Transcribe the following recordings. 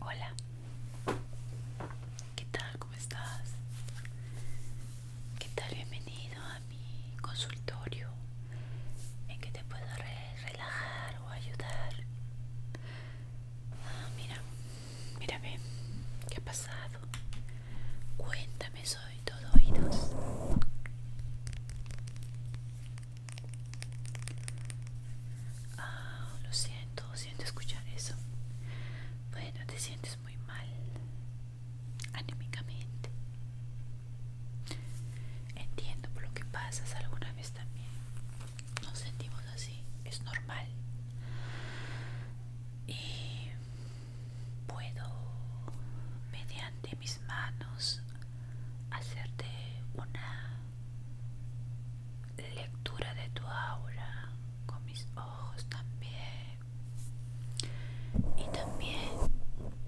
Hola, ¿qué tal? ¿Cómo estás? ¿Qué tal? Bienvenido a mi consultorio en que te puedo relajar o ayudar. Ah, mira, mírame, ¿qué ha pasado? Cuéntame, soy todo oídos. Ah, lo siento, siento escuchar eso. Bueno, te sientes muy mal anímicamente. Entiendo por lo que pasas alguna vez también. Nos sentimos así, es normal. Y puedo mediante mis manos hacerte una lectura de tu aura con mis ojos también y también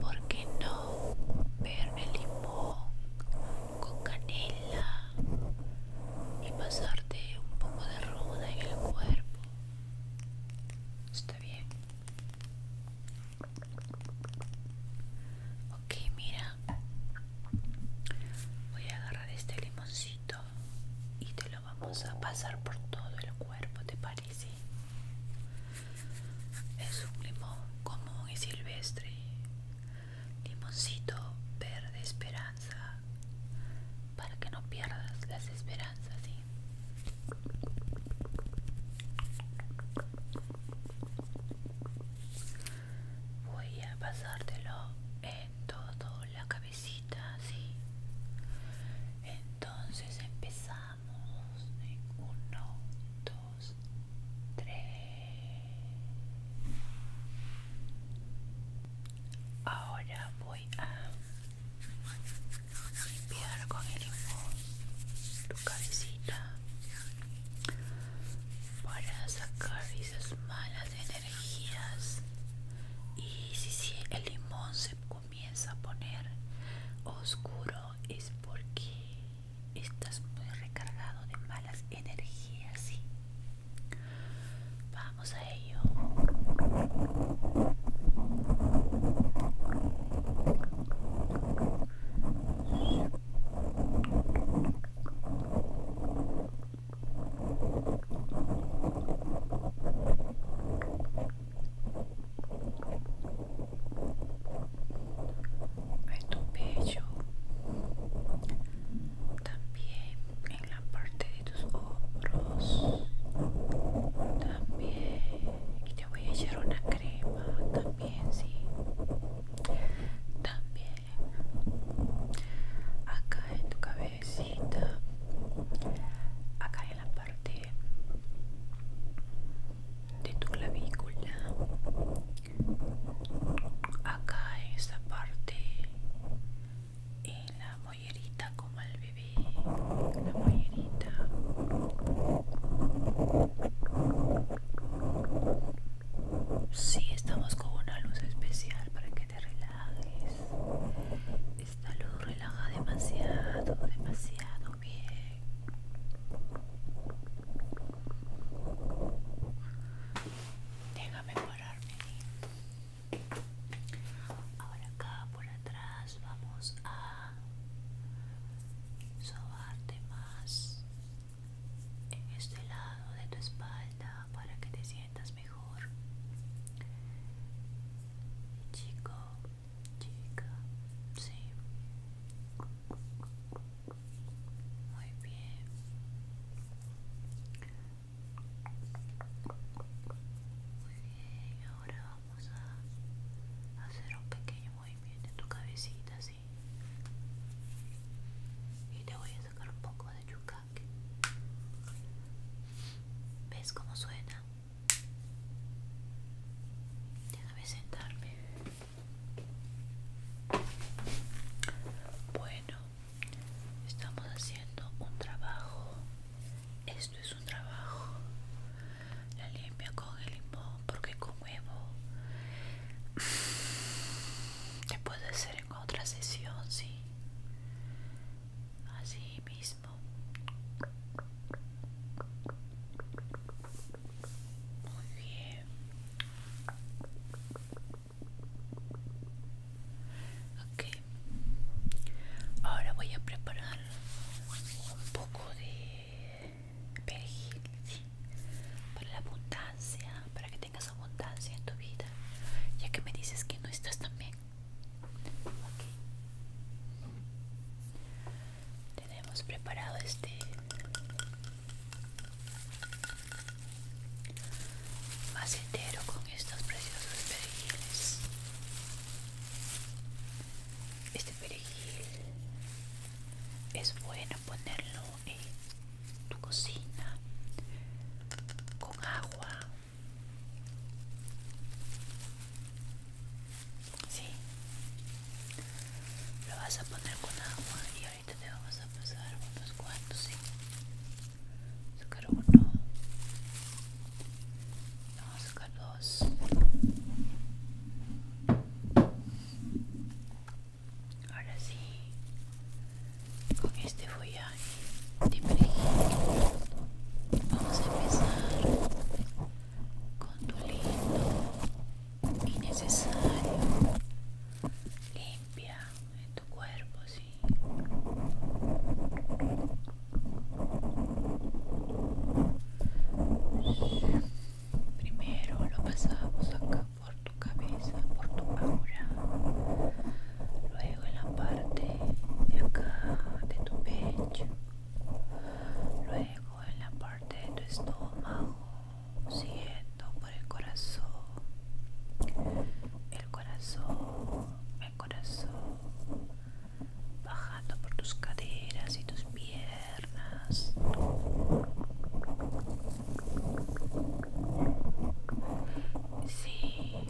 porque no ver el limón con canela y pasarte un poco de ruda en el cuerpo Está bien. Ok, mira. Voy a agarrar este limoncito y te lo vamos a pasar por todo el cuerpo, ¿te parece? Es un limón común y silvestre. Limoncito verde esperanza. Para que no pierdas las esperanzas, ¿sí? Voy a pasártelo en toda la cabecita, ¿sí? Entonces empezamos en 1, 2, 3. Ahora voy a limpiar con el limón tu cabecita para sacar esas malas energías y si, el limón se comienza a poner oscuro es porque estás muy recargado de malas energías vamos a ello. Meto un bello también en la parte tus hombros también y te voy a echar una crema también sí también acá en tu cabecita acá en la parte de tu clavícula acá en esta parte en la mollerita como al bebé la mollerita si sí, estamos con una luz especial para que te relajes esta luz relaja demasiado demasiado bien déjame pararme Ahora acá por atrás vamos a sobarte más en este lado de tu espalda para que te sientas mejor. Chico, chica, sí. Muy bien. Muy bien, ahora vamos a hacer un pequeño movimiento en tu cabecita así y te voy a sacar un poco de yucaque ves cómo suena déjame sentarme bueno estamos haciendo un trabajo esto es un trabajo. La limpia con el limón porque con huevo te puedo hacer en otra sesión, sí. Así mismo. Muy bien. Ok, ahora voy a preparar un poco de perejil para la abundancia para que tengas abundancia en tu vida ya que me dices que no estás tan bien tenemos preparado este macetero con estos preciosos perejiles este perejil es bueno ponerlo en tu cocina con agua. Sí, lo vas a poner con agua y ahorita te vamos a pasar unos cuantos, Sacar uno, dos. Ahora sí, con este follaje de perejil vamos a empezar con tu lindo y necesario limpia en tu cuerpo, sí. Primero lo pasamos acá por tu cabeza, por tu aura, luego en la parte de acá de tu pecho, luego en la parte de tu estómago, siento por el corazón, el corazón, el corazón bajando por tus caderas y tus piernas. Sí,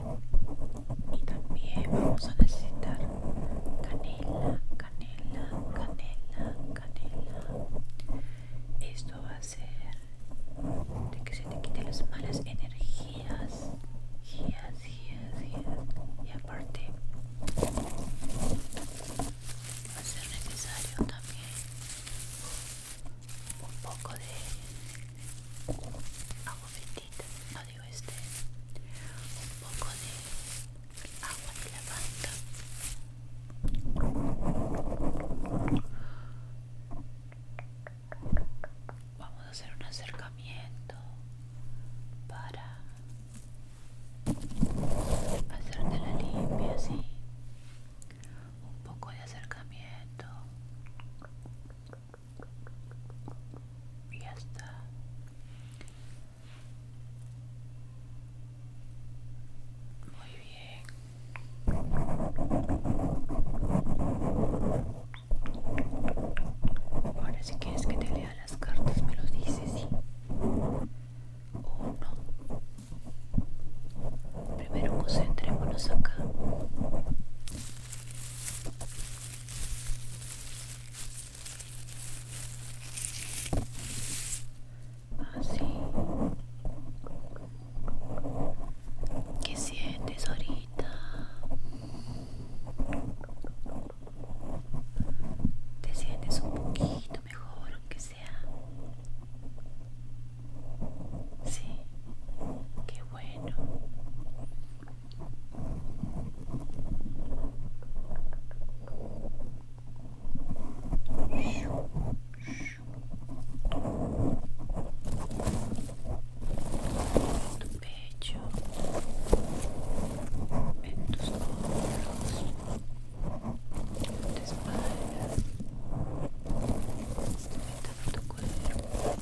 y también vamos a necesitar canela, canela, canela, canela. Esto va a ser de que se te quiten las malas energías, energías, y aparte va a ser necesario también un poco de agua no digo este, un poco de agua de lavanda vamos a hacer un acercamiento para hacerte la limpia un poco de acercamiento y ya está muy bien Ahora si quieres que te lea las cartas me lo dices, ¿sí? O no. Primero concentrémonos acá. Así. Ah, ¿Qué sientes ahorita? te sientes un poquito mejor, aunque sea. Sí, qué bueno pecho, en tus hombros, en tu espalda, en todo tu cuerpo.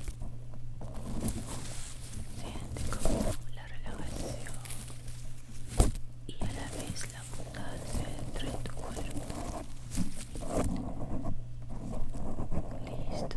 Siente como la relajación y a la vez la abundancia dentro de tu cuerpo. Listo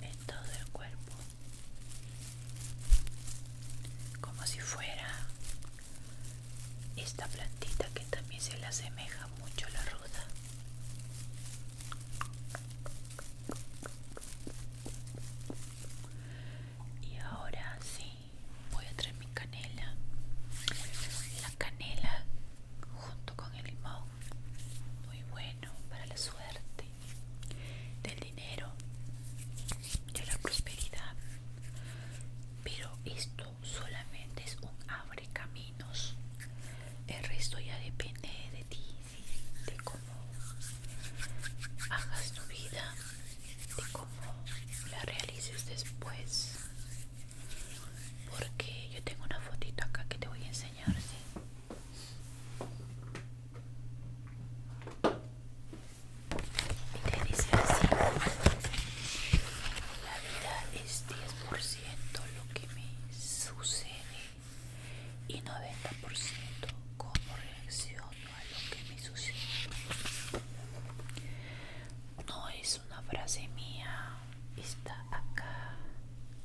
en todo el cuerpo como si fuera esta plantita que también se le asemeja mucho a la ruda y ahora sí voy a traer mi canela la canela junto con el limón muy bueno para la suerte, del dinero, de la prosperidad. Pero esto solamente es un abre caminos. El resto ya depende de ti, de cómo hagas tu vida, de cómo la realices después. Porque yo tengo una fotito acá que te voy a enseñar, te dice así la vida es 10% lo que me sucede y 90% cómo reacciono a lo que me sucede no es una frase mía está acá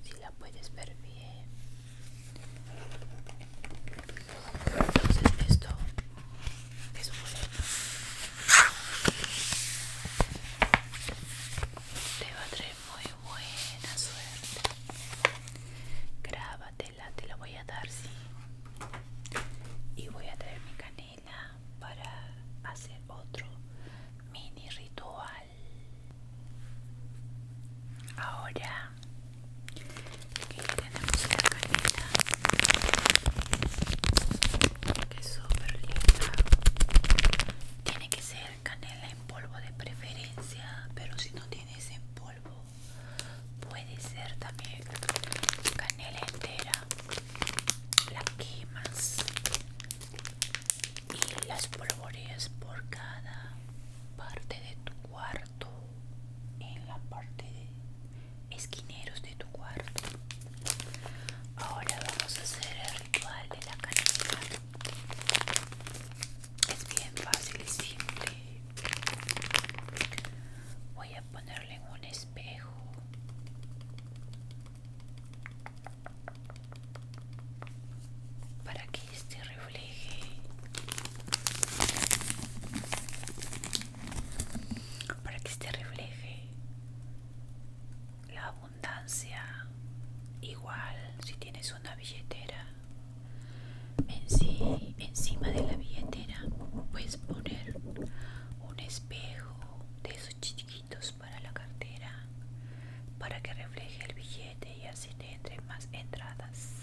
si la puedes ver bien entonces esto es un boleto. Te va a traer muy buena suerte. Grábatela, te la voy a dar, sí. Y voy a traer mi canela para hacer otro mini ritual Ahora tenemos la canela que es súper linda. Tiene que ser canela en polvo de preferencia, pero si no tienes en polvo puede ser también canela entera. La quemas y las polvoreas por cada parte de tu cuarto en la parte de esquineros de tu cuarto ahora vamos a hacer el ritual de la canasta es bien fácil y simple voy a ponerle en un espejo para que este refleje para que este refleje la abundancia igual si tienes una billetera encima de la billetera puedes poner un espejo de esos chiquitos para la cartera para que refleje el billete y así te entren más entradas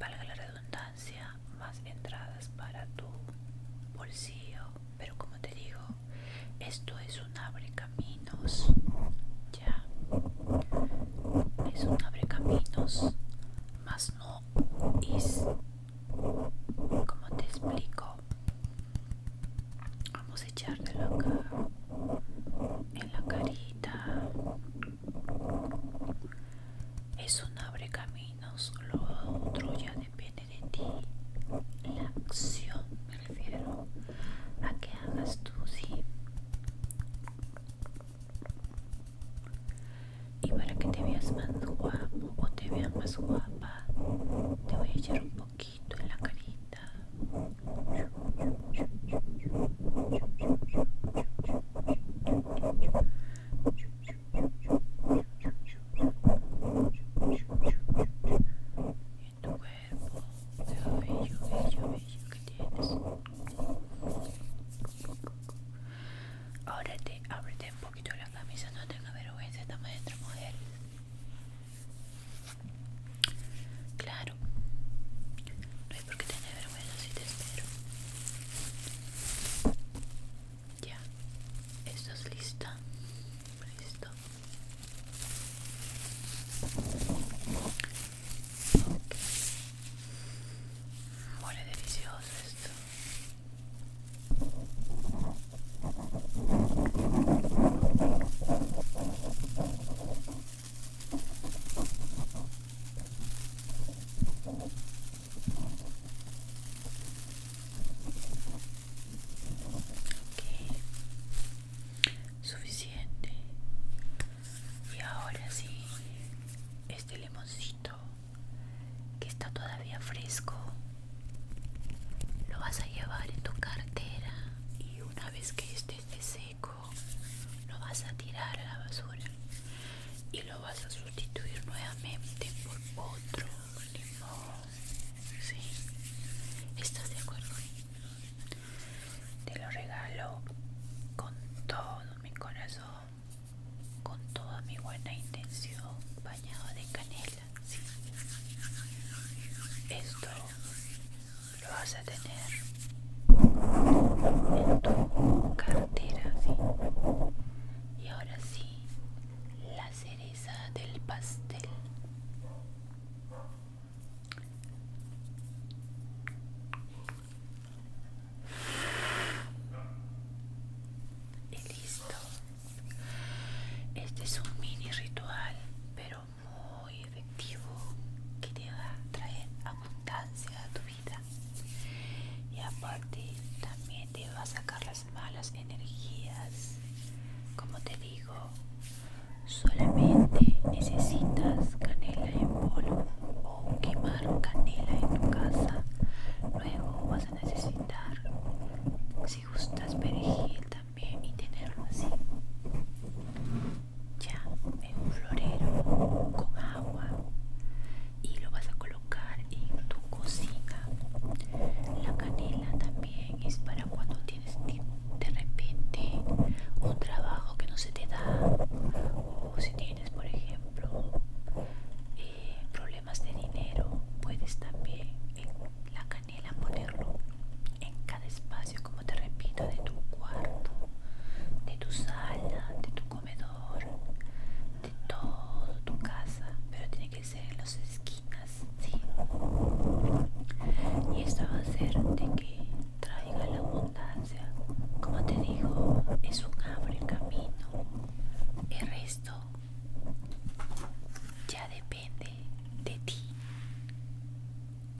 valga la redundancia más entradas para tu bolsillo pero como te digo esto es un abre caminos ya es un abre caminos más no es como te explico Vamos a echártelo acá en la carita. Eso no abre caminos, lo otro ya depende de ti. La acción, me refiero a que hagas tú, sí. Y para que te veas más guapo o te vean más guapa, te voy a echar un poquito en la carita. tu cuerpo, bello, bello, que tienes. Ahora ábrete un poquito la camisa, no tenga vergüenza, estamos entre mujeres. Claro, no hay por qué tener vergüenza si te espero. Ya, ¿estás lista? Listo. Okay. Huele delicioso esto suficiente y ahora sí este limoncito que está todavía fresco lo vas a llevar en tu cartera y una vez que este esté seco lo vas a tirar a la basura y lo vas a sustituir nuevamente por otro limón. ¿Sí? ¿Estás de acuerdo? Te lo regalo con todo mi corazón, con toda mi buena intención, bañado de canela. ¿sí? Esto lo vas a tener en tu cartera, Y ahora sí, la cereza del pastel. Y listo. Este es un mini ritual, pero muy efectivo que te va a traer abundancia a tu vida y aparte también te va a sacar las malas energías como te digo solamente necesitas canela en polvo o quemar canela en tu casa luego vas a necesitar si gustas perejil también y tenerlo así ya en un florero con agua y lo vas a colocar en tu cocina. La canela también es para cuando tienes de repente un trabajo que no se te da o si tienes, por ejemplo, eh, problemas de dinero, puedes también en la canela ponerlo en cada espacio, como te repito, de tu cuarto, de tu sala, de tu comedor, de toda tu casa, pero tiene que ser en las esquinas, ¿sí? Y esto va a hacer de que traiga la abundancia. Como te digo, es un abrir camino. El resto ya depende de ti.